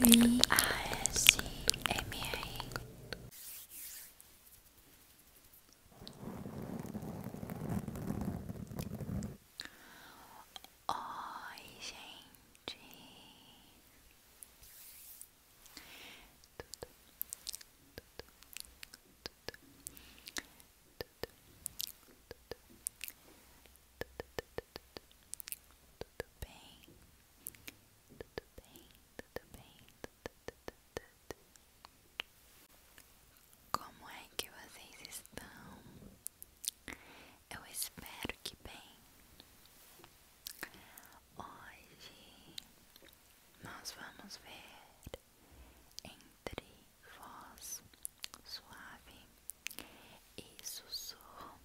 M A S M A Oi, gente. Tudo, tudo, tudo, tudo, tudo, tudo, tudo, tudo, bem, tudo bem, tudo bem, Como é que vocês estão? Eu espero que bem. Hoje nós vamos ver entre voz suave e sussurro,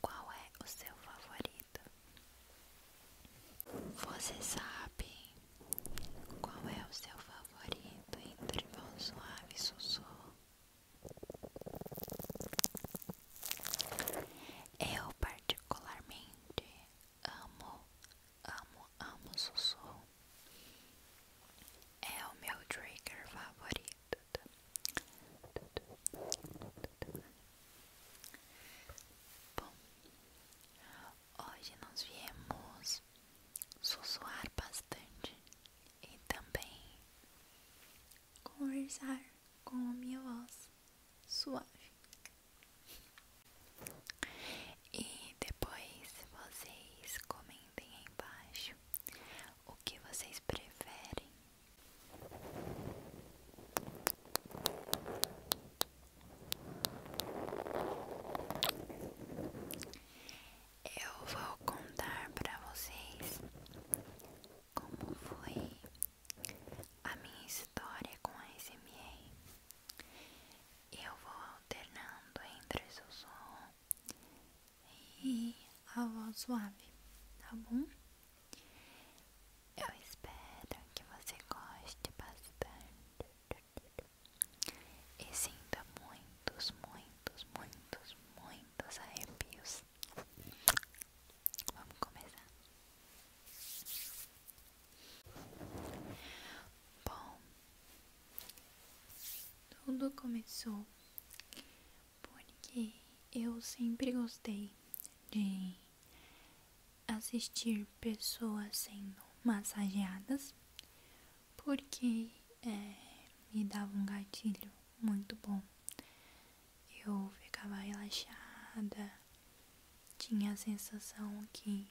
qual é o seu favorito? Você sabe qual é o seu favorito entre mão suave sussurro? Eu particularmente amo, amo, amo sussurro. É o meu trigger favorito. Bom, hoje nós viemos sussuar bastante e também conversar com a minha voz suave. E depois vocês comentem aí embaixo o que vocês preferem eu vou contar para vocês como foi a minha história com a SMA. Eu vou alternando entre sussurro e a voz suave, tá bom? Eu espero que você goste bastante e sinta muitos, muitos, muitos, muitos arrepios. Vamos começar. Bom, tudo começou porque eu sempre gostei de assistir pessoas sendo massageadas, porque é, me dava um gatilho muito bom. Eu ficava relaxada, tinha a sensação que.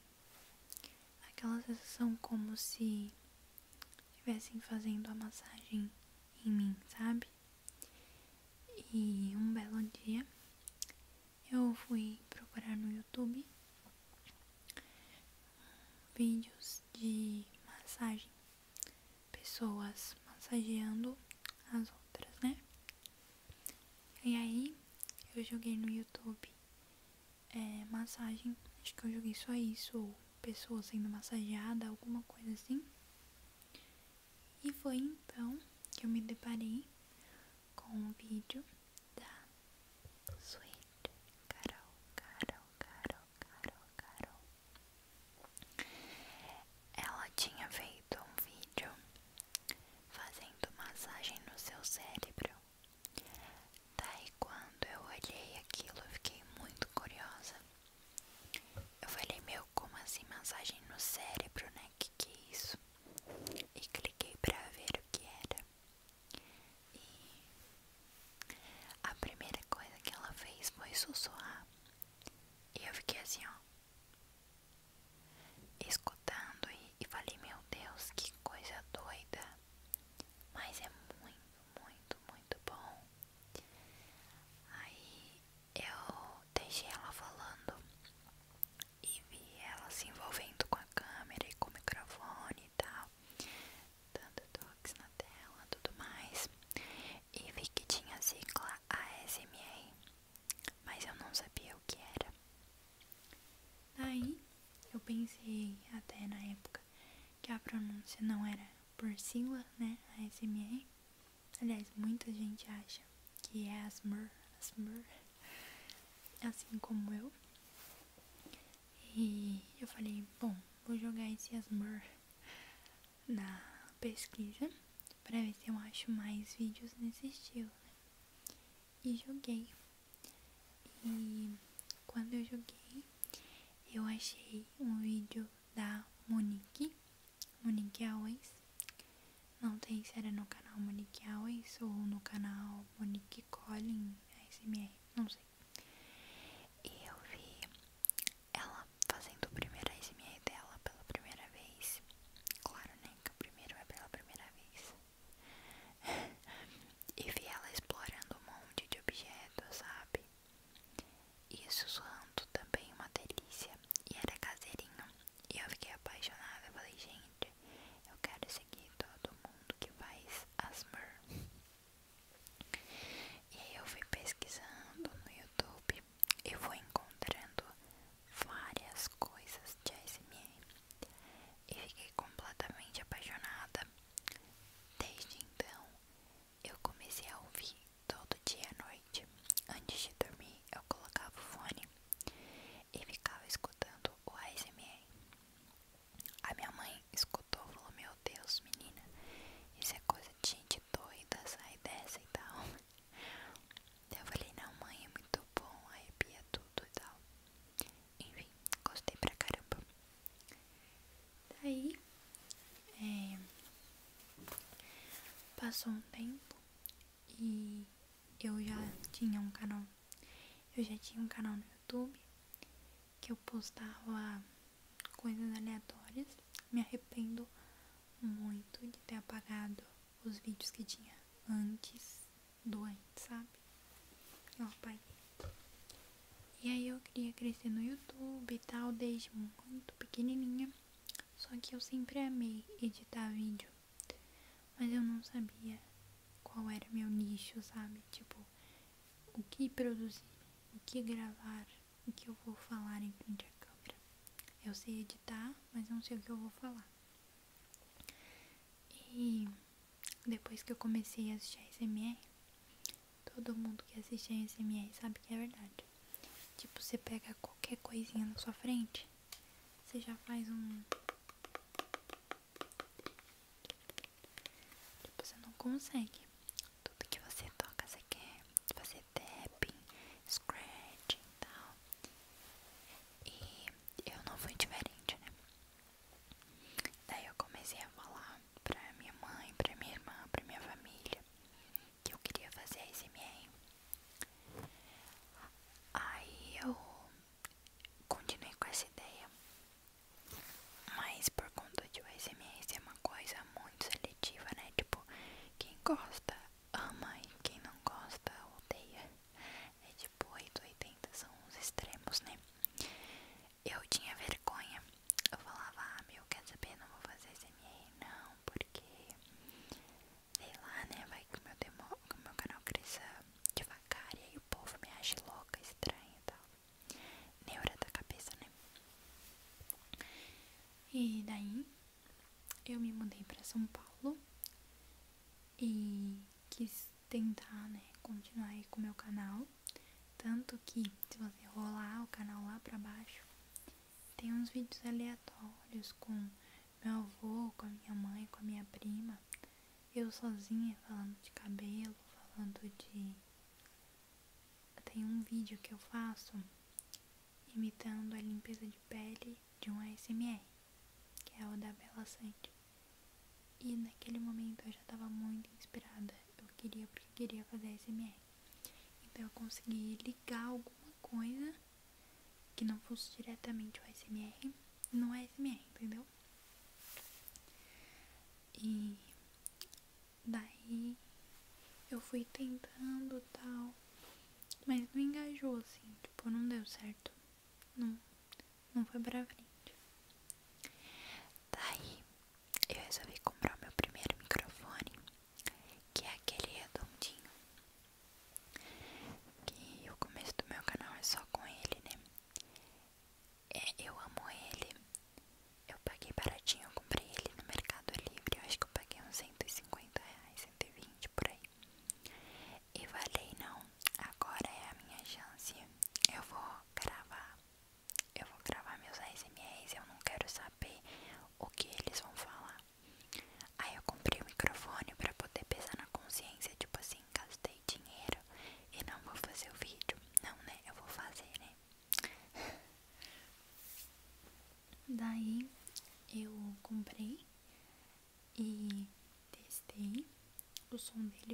aquela sensação como se estivessem fazendo a massagem em mim, sabe? E um belo dia eu fui procurar no YouTube vídeos de massagem, pessoas massageando as outras, né? E aí eu joguei no YouTube eh, massagem, acho que eu joguei só isso, pessoa sendo massageada, alguma coisa assim. E foi então que eu me deparei com o um vídeo da Sweet Carol, Carol, Carol, Carol, Carol. Ela tinha feito um vídeo fazendo massagem no seu cérebro. Daí quando eu olhei aquilo, eu fiquei muito curiosa. Eu falei, meu, como assim mensagem no cérebro, né? Que que é isso? E cliquei pra ver o que era. E a primeira coisa que ela fez foi sussurrar. E eu fiquei assim, ó. Escutando e, e falei, meu Deus, que coisa doida. Mas é muito, muito, muito muito bom. Aí eu deixei ela falando e vi ela se envolvendo com a câmera e com o microfone e tal, dando toques na tela tudo mais. E vi que tinha a sigla ASMR, mas eu não sabia o que era. Aí eu pensei até na época que a pronúncia não era por sigla, né? ASMR. Aliás, muita gente acha que é ASMR, ASMR, assim como eu. E eu falei, bom, vou jogar esse ASMR na pesquisa para ver se eu acho mais vídeos nesse estilo, né? E joguei. E quando eu joguei, eu achei um vídeo da Monique, Monique Always. Não tem se era no canal Monique Always ou no canal Monique Collin ASMR, não sei. E eu vi ela fazendo o primeiro ASMR dela pela primeira vez. Claro, né? Que o primeiro é pela primeira vez. e vi ela explorando um monte de objetos, sabe? Isso zoando também uma delícia. E era caseirinho. E eu fiquei apaixonada. Eu falei, gente, eu quero seguir todo mundo que faz asmr. E aí eu fui pesquisando no YouTube e fui encontrando várias coisas de ASMR. E fiquei completamente apaixonada. Desde então, eu comecei a ouvir todo dia à noite. Antes de dormir, eu colocava o fone e ficava escutando o ASMR. A minha mãe escutou e falou: Meu Deus, menina, isso é coisa de gente doida, sai dessa e tal. Eu falei: Não, mãe, é muito bom, a arrepia tudo e tal. Enfim, gostei pra caramba. Daí é, passou um tempo e eu já tinha um canal. Eu já tinha um canal no YouTube que eu postava coisas aleatórias. Me arrependo muito de ter apagado os vídeos que tinha antes do antes, sabe? Eu pai e aí eu queria crescer no YouTube e tal, desde muito pequenininha. Só que eu sempre amei editar vídeo. Mas eu não sabia qual era meu nicho, sabe? Tipo, o que produzir, o que gravar, o que eu vou falar em frente à câmera. Eu sei editar, mas não sei o que eu vou falar. E depois que eu comecei a assistir SMR, Todo mundo que assiste a SMR sabe que é verdade. Tipo, você pega qualquer coisinha na sua frente, você já faz um. Tipo, você não consegue. Tudo que você toca, você quer fazer tapping, scratch e tal. E eu não fui diferente, né? Daí eu comecei a falar pra minha mãe, pra minha irmã, pra minha família que eu queria fazer a SMA. Aí eu continuei com essa ideia, mas por conta de o SMA ser uma coisa muito seletiva, né? Tipo, quem gosta ama e quem não gosta odeia. É tipo 880, são os extremos, né? Eu tinha vergonha. Eu falava, ah, meu, quer saber? Não vou fazer SMR, não, porque sei lá, né? Vai que o meu, demo, que meu canal cresça devagar e o povo me acha louca, estranha e tal. Neura da cabeça, né? E daí eu me mudei pra São Paulo e quis tentar, né? Continuar aí com o meu canal. Tanto que, se você rolar o canal lá pra baixo, tem uns vídeos aleatórios com meu avô, com a minha mãe, com a minha prima, eu sozinha falando de cabelo, falando de. Tem um vídeo que eu faço imitando a limpeza de pele de um ASMR, que é o da Bela Sante. E naquele momento eu já estava muito inspirada eu queria porque queria fazer SMR. Então eu consegui ligar alguma coisa que não fosse diretamente o SMR, não é SMR, entendeu? E daí eu fui tentando tal, mas não engajou assim, tipo, não deu certo. Não, não foi pra frente. Daí eu resolvi comprar o meu primeiro microfone, que é aquele redondinho. Que o começo do meu canal é só com ele, né? É, eu amo ele. Eu paguei baratinho, eu comprei ele no Mercado Livre. acho que eu paguei uns 150 reais, 120 por aí. E falei, não, agora é a minha chance. Eu vou gravar eu vou gravar meus ASMRs, eu não quero saber o que eles vão falar. Aí eu comprei o microfone pra poder pesar na consciência, tipo assim, gastei dinheiro e não vou fazer o vídeo. Não, né? Eu vou fazer, né? Daí eu comprei e testei. O som dele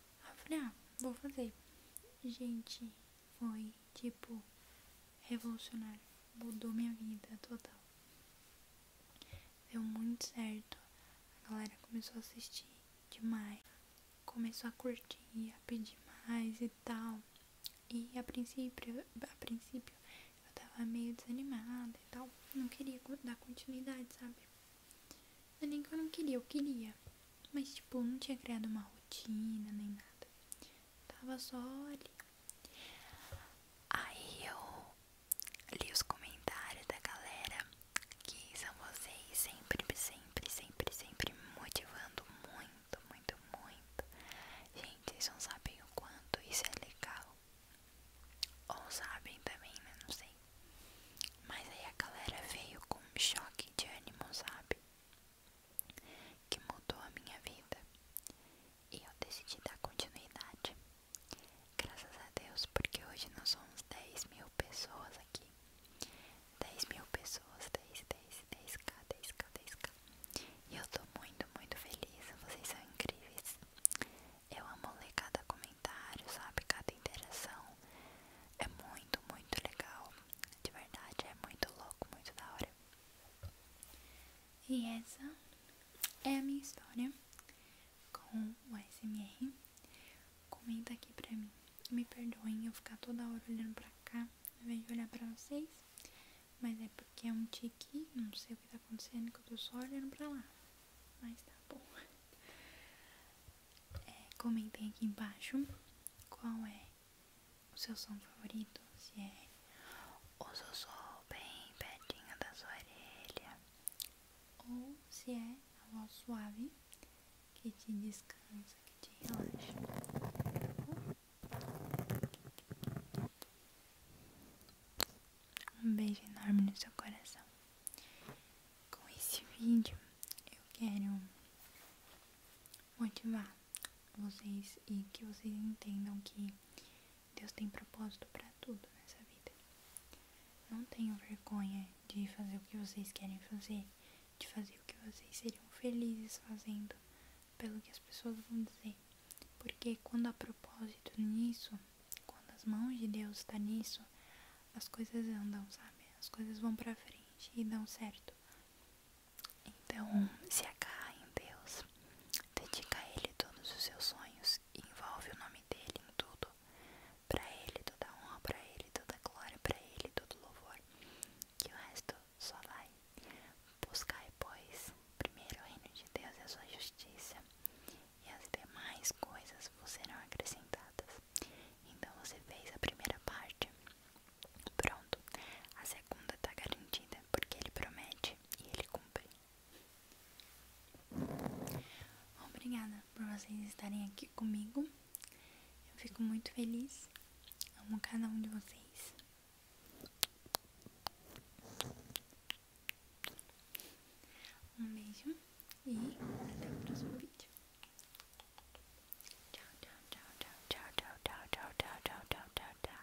Aí eu falei, ah, vou fazer. Gente, foi tipo revolucionário. Mudou minha vida total. Deu muito certo. A galera começou a assistir demais. Começou a curtir, a pedir mais e tal. E a princípio, a princípio eu tava meio desanimada e tal. Não queria dar continuidade, sabe? Não é nem que eu não queria, eu queria. Mas, tipo, não tinha criado uma rotina nem nada. Tava só ali. Aí eu li os comentários da galera que são vocês sempre, sempre, sempre, sempre motivando muito, muito, muito. Gente, vocês não sabem o quanto isso é legal. Ou sabem também, né? Não sei. Mas aí a galera veio com um choque de ânimo, sabe? Que mudou a minha vida. E eu decidi dar continuidade. Graças a Deus, porque hoje nós somos 10 mil pessoas aqui. 10 mil pessoas, 10, 10, 10k, 10k, 10k. E eu tô muito, muito feliz. Vocês são incríveis. Eu amo ler cada comentário, sabe? Cada interação. É muito, muito legal. De verdade, é muito louco, muito da hora. E essa é a minha história com o SMR. Comenta aqui pra mim. Me perdoem eu ficar toda hora olhando pra cá, ao invés de olhar pra vocês. Mas é porque é um tique, não sei o que tá acontecendo, que eu tô só olhando pra lá. Mas tá bom. É, comentem aqui embaixo qual é o seu som favorito, se é o sussurro bem pertinho da sua orelha, ou se é a voz suave que te descansa, que te relaxa. Um beijo enorme no seu coração. Com esse vídeo eu quero motivar vocês e que vocês entendam que Deus tem propósito para tudo nessa vida. Não tenham vergonha de fazer o que vocês querem fazer, de fazer o que vocês seriam felizes fazendo, pelo que as pessoas vão dizer. Porque quando há propósito nisso, quando as mãos de Deus estão tá nisso, as coisas andam, sabe? As coisas vão pra frente e dão certo. Então, se agarra em Deus, dedica a Ele todos os seus sonhos e envolve o nome dele em tudo. Pra Ele, toda honra, pra Ele, toda glória, pra Ele, todo louvor. Que o resto só vai. Buscai, pois, primeiro o reino de Deus e a sua justiça, e as demais coisas vos serão acrescentadas. Então você fez a primeira parte. Pronto, a segunda está garantida porque ele promete e ele cumpre. Obrigada por vocês estarem aqui comigo. Eu fico muito feliz. Amo cada um de vocês. Um beijo e até o próximo vídeo. Tchau, tchau, tchau, tchau, tchau, tchau, tchau, tchau, tchau, tchau, tchau, tchau, tchau.